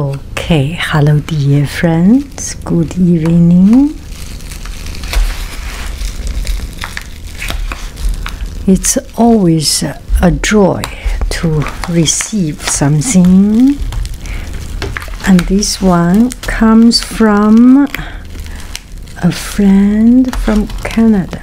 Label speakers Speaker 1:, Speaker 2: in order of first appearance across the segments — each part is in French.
Speaker 1: Okay, hello dear friends, good evening. It's always a joy to receive something, and this one comes from a friend from Canada.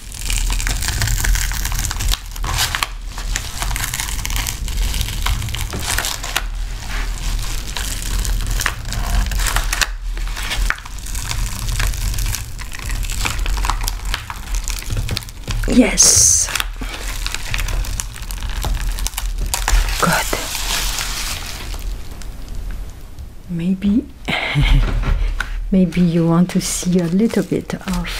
Speaker 1: Yes. Good. Maybe maybe you want to see a little bit of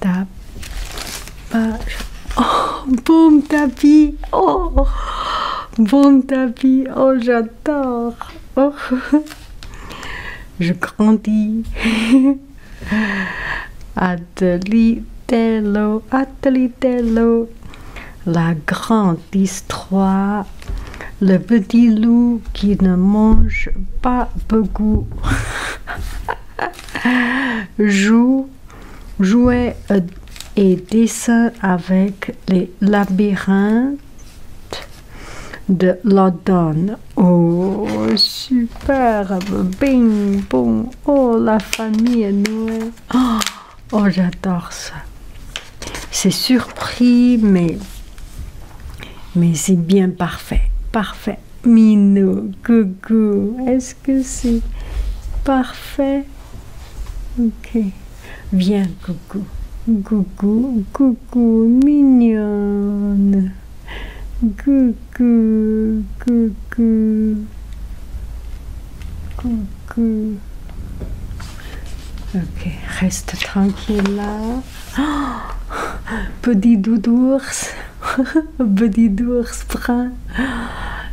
Speaker 1: Tapage. Ah. Oh, boum tapis. Oh, boum tapis. Oh, j'adore. Oh. Je grandis. ah, Atelitello, Atelitello, la grande histoire, le petit loup qui ne mange pas beaucoup, joue, jouait euh, et dessin avec les labyrinthes de l'odon Oh, superbe! Bing, bon Oh, la famille Noël. Oh, oh, j'adore ça. C'est surpris, mais, mais c'est bien parfait. Parfait. Mino, coucou. Est-ce que c'est parfait Ok. Viens, coucou. Coucou, coucou, mignonne. Coucou. Coucou, coucou, Ok, reste tranquille là. Petit petit d'ours, petit d'ours brun.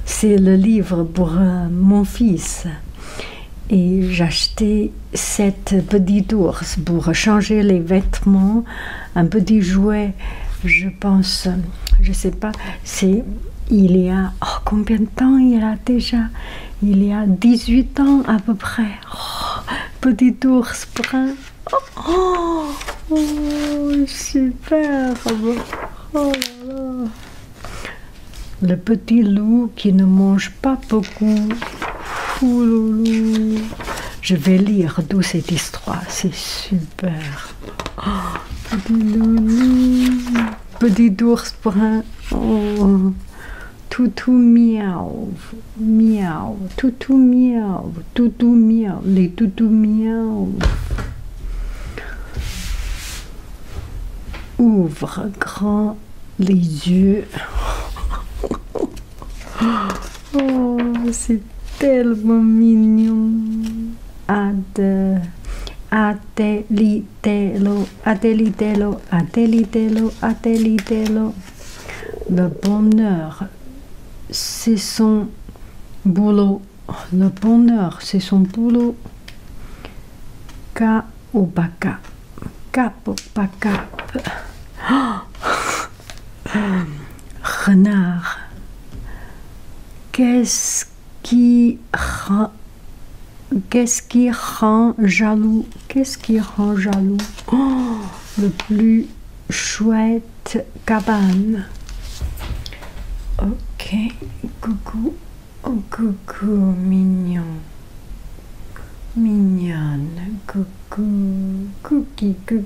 Speaker 1: C'est le livre pour euh, mon fils. Et j'achetais cette petit d'ours pour changer les vêtements un petit jouet, je pense, je sais pas, c'est il y a oh, combien de temps il a déjà Il y a 18 ans à peu près. Oh, petit ours brun. Oh, oh super oh, oh là là. Le petit loup qui ne mange pas beaucoup. Je vais lire d'où cette histoire, c'est sûr petit ours brun. toutou miaou, miaou, toutou miaou, toutou miaou, les toutou miaou. Ouvre grand les yeux. Oh, c'est tellement mignon. Ad, atelitelo, atelitelo, atelitelo, atelitelo. Le bonheur, c'est son boulot. Le bonheur, c'est son boulot. Ka ou baka. Kap ou baka. Oh, renard. Qu'est-ce qui, qu'est-ce qui rend jaloux Qu'est-ce qui rend jaloux oh, Le plus chouette cabane. Ok, coucou, coucou, mignon. Mignonne, coucou, cookie, cookie.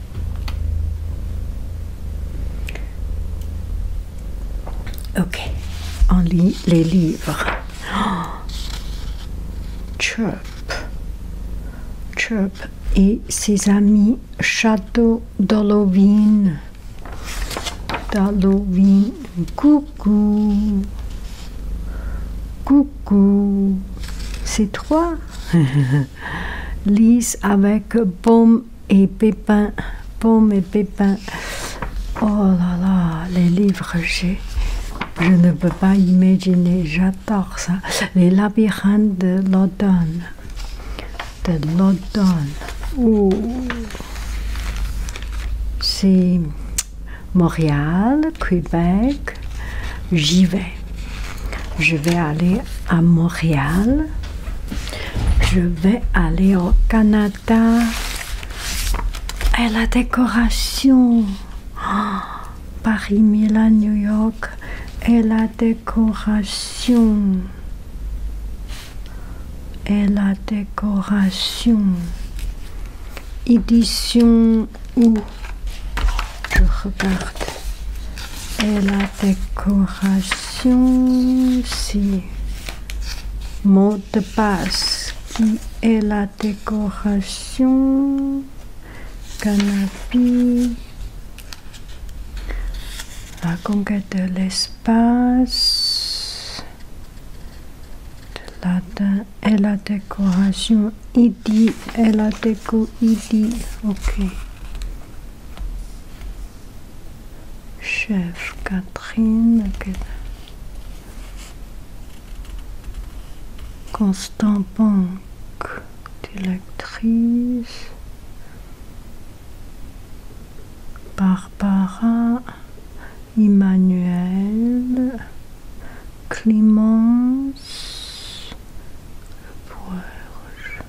Speaker 1: Ok, on lit les livres. Chup. Chirp. et ses amis Château Dolovine D'Halloween. Coucou. Coucou. C'est toi lisse avec pommes et pépin. Pommes et pépins. Oh là là, les livres j'ai. Je ne peux pas imaginer, j'adore ça. Les labyrinthes de l'automne. De l'automne. C'est Montréal, Québec. J'y vais je vais aller à Montréal. Je vais aller au Canada. Et la décoration. Oh, Paris, Milan, New York. Et la décoration. Et la décoration. Édition ou Je regarde. Et la décoration, si mot de passe. Qui est la décoration Canapé. La conquête de l'espace. Et la décoration Idi ID, elle a ok. Chef Catherine, Constant Banque, directrice. Barbara, Emmanuel, Clémence, Poirge.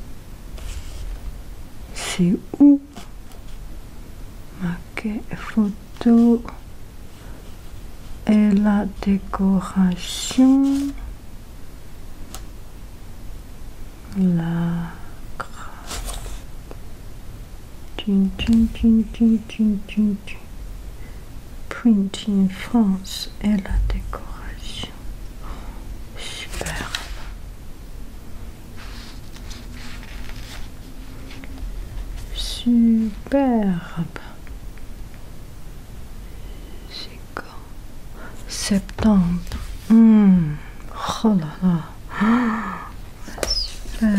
Speaker 1: C'est où Maquet photo et la décoration. La Tune, tune, tune, tune, printing France et la décoration. Superbe. Superbe. C'est quand Septembre. Super. Hmm. Oh là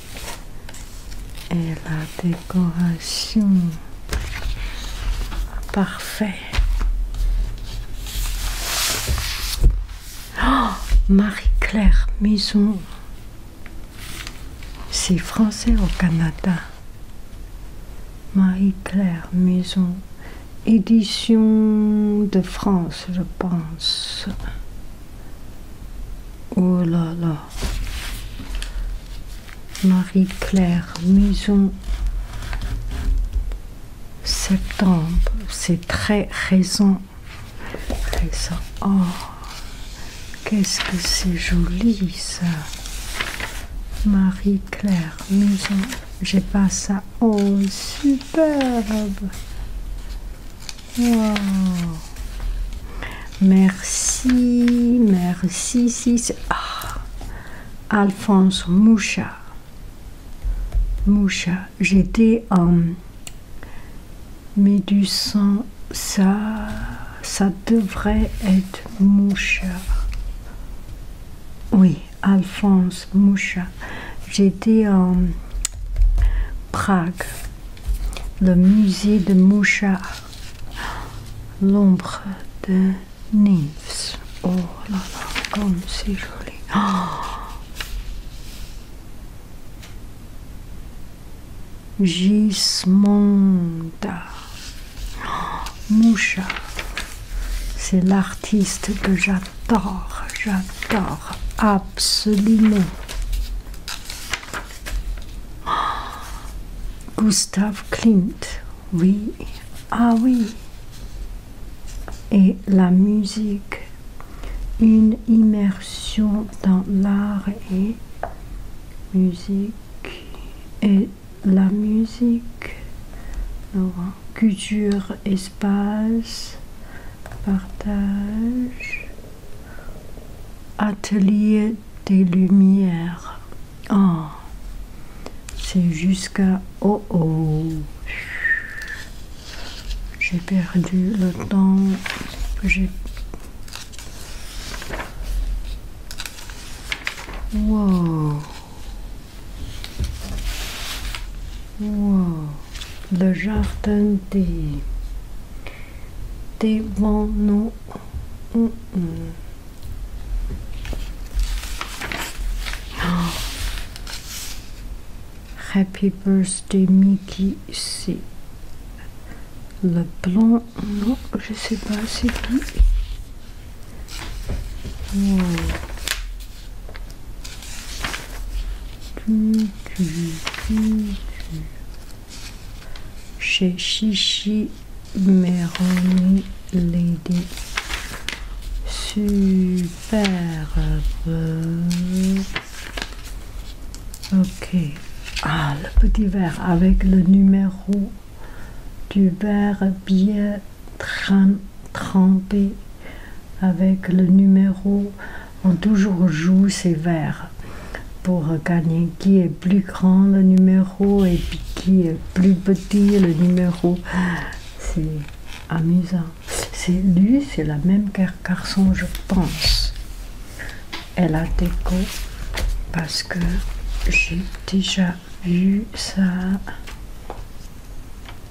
Speaker 1: et la décoration parfait oh, Marie-Claire Maison c'est français au Canada Marie-Claire Maison édition de France je pense Oh là là. Marie-Claire maison, Septembre. C'est très récent. Oh. Qu'est-ce que c'est joli ça. Marie-Claire maison, J'ai pas ça. Oh, superbe. Oh. Merci, merci, si, ah. Alphonse Moucha. Moucha, j'étais en mais du sang, ça, ça devrait être Moucha. Oui, Alphonse Moucha. J'étais en Prague, le musée de Moucha, l'ombre de Nymphs. Oh là là, comme c'est joli. Oh Gismonda oh, Mouchard, c'est l'artiste que j'adore, j'adore absolument. Gustave Klimt, oui, ah oui. Et la musique, une immersion dans l'art et musique et la musique, culture, espace, partage, Atelier des Lumières. Ah, c'est jusqu'à... Oh, oh J'ai perdu le temps. J'ai... Wow Wow Le jardin des... Des nous. Oh. Happy birthday Mickey, c'est le blanc. Non, je sais pas c'est qui. Hmm. Chez Chichi Meroni Lady. Superbe. Ok. Ah, le petit verre avec le numéro du verre bien trempé. Avec le numéro on toujours joue ces vers pour gagner qui est plus grand le numéro et puis qui est plus petit le numéro. C'est amusant. C'est lui, c'est la même garçon, je pense. Elle a déco parce que j'ai déjà vu ça.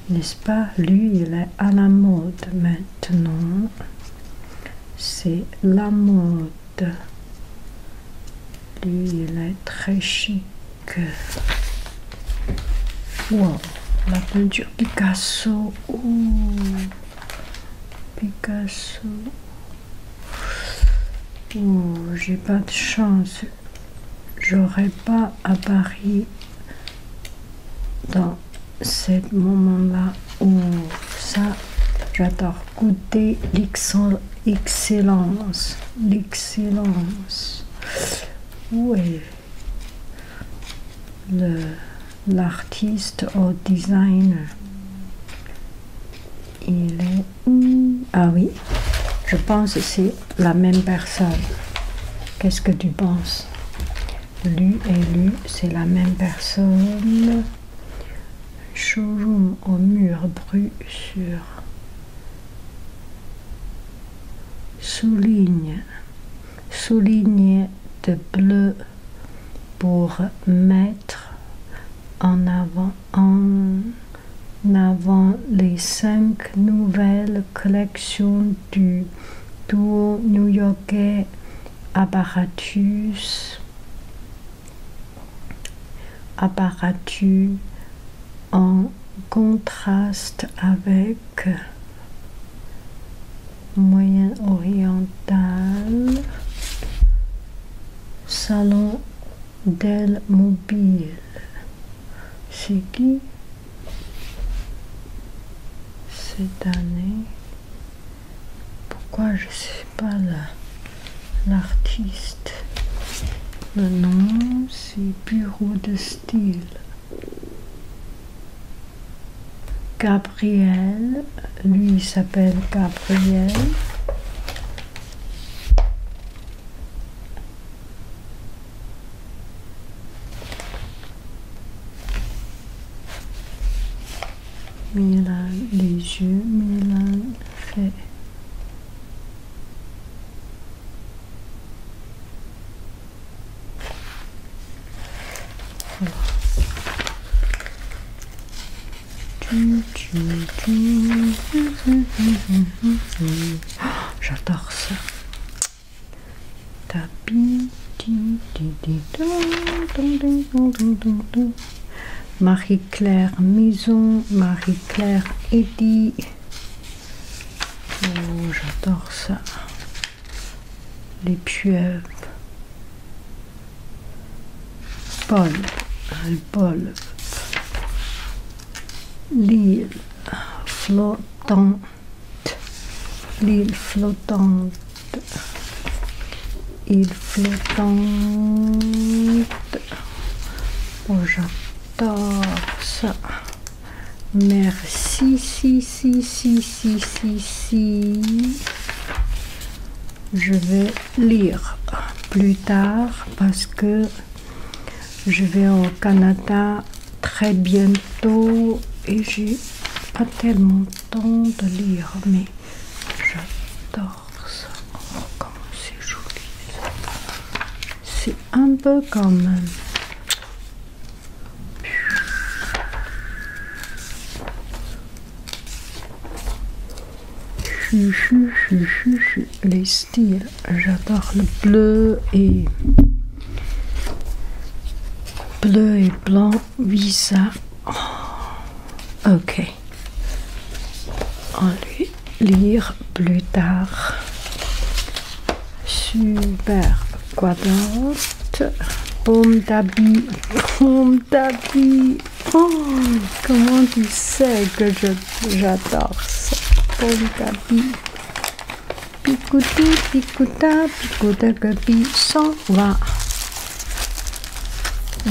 Speaker 1: N'est-ce pas Lui, il est à la mode même maintenant c'est la mode lui il est très chic la peinture Picasso Picasso j'ai pas de chance j'aurais pas à Paris dans ce moment-là où ça, j'adore goûter l'excellence. L'excellence. Où est l'artiste au designer Il est où Ah oui, je pense que c'est la même personne. Qu'est-ce que tu penses lui et lui, c'est la même personne. Showroom au mur brut sur souligne souligne de bleu pour mettre en avant en avant les cinq nouvelles collections du tour new-yorkais Apparatus, Apparatus en contraste avec Moyen-Oriental, Salon del Mobile. C'est qui cette année. Pourquoi je sais pas l'artiste Le nom, c'est Bureau de style. Gabriel, lui il s'appelle Gabriel. Milan les jeux, Milan fait. J'adore ça. Marie-Claire Maison, Marie-Claire Eddy. Oh, j'adore ça. Les pieuvres. Paul, hein, Paul. L'île flottant l'île flottante, l'île flottante, oh j'adore ça, merci, si, si, si, si, si, si, je vais lire plus tard parce que je vais au Canada très bientôt et j'ai pas tellement de temps de lire, mais j'adore ça. Oh, comment c'est joli C'est un peu comme. Les styles j'adore le bleu et bleu et blanc. Oui, ça. Oh. Ok. On va lire plus tard. Super quadrante. Pomme d'habit. Pomme d'habit. Oh, comment tu sais que j'adore ça? Pomme d'habit. Picouti, picouta, picoutacapi s'en va.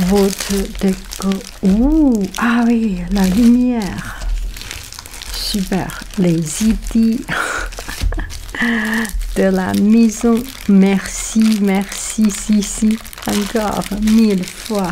Speaker 1: Votre déco. Ouh, ah oui, la lumière. Super, les idées de la maison. Merci, merci, si, si, encore mille fois.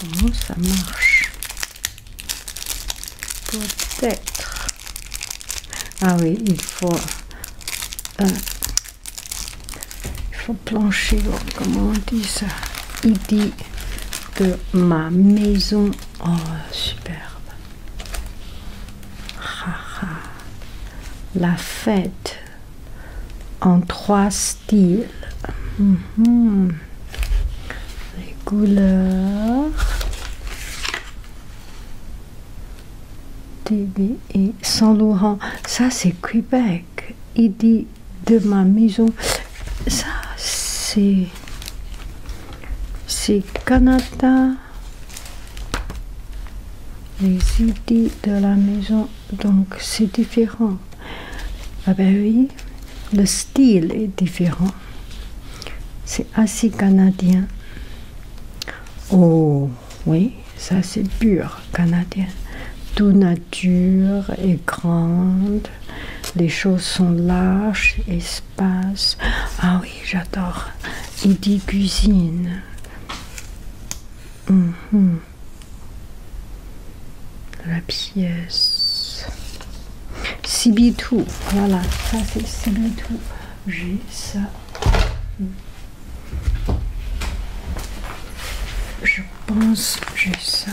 Speaker 1: Comment ça marche Peut-être. Ah oui, il faut. Euh, il faut plancher, comment on dit ça Il dit de ma maison. Oh, superbe. La fête en trois styles. Mhm. Les couleurs. et e. Saint Laurent. Ça, c'est Québec. Il dit de ma maison ça c'est c'est Canada les idées de la maison donc c'est différent ah ben oui le style est différent c'est assez canadien oh oui ça c'est pur canadien tout nature est grande les choses sont larges et passe Ah oui, j'adore. Il dit cuisine. Mhm. La pièce. Sibitou. Voilà, ça c'est Sibitou. J'ai ça. Je pense que j'ai ça.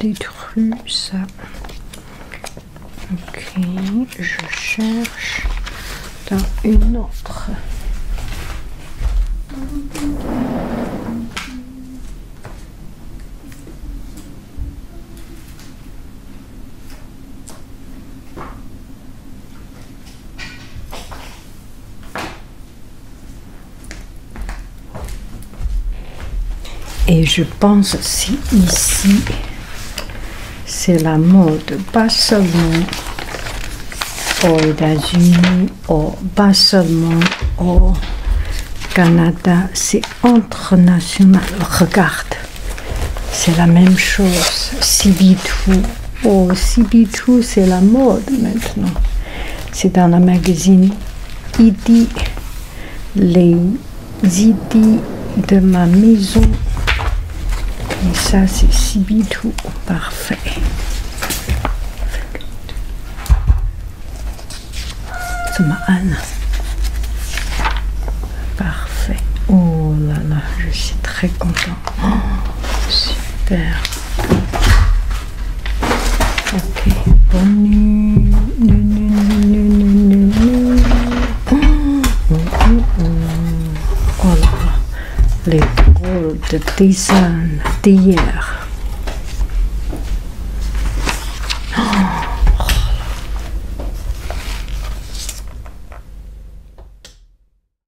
Speaker 1: Des ça. Ok, je cherche dans une autre. Et je pense aussi ici, c'est la mode, pas seulement aux États-Unis, pas seulement au Canada, c'est international. Regarde, c'est la même chose. Si tout. Oh, cb c'est la mode maintenant. C'est dans la magazine ID. Les idées de ma maison. Et ça, c'est cb Parfait. C'est ma Anne. Parfait. Oh là là, je suis très content. Oh, super. Ok, bonne les de d'hier.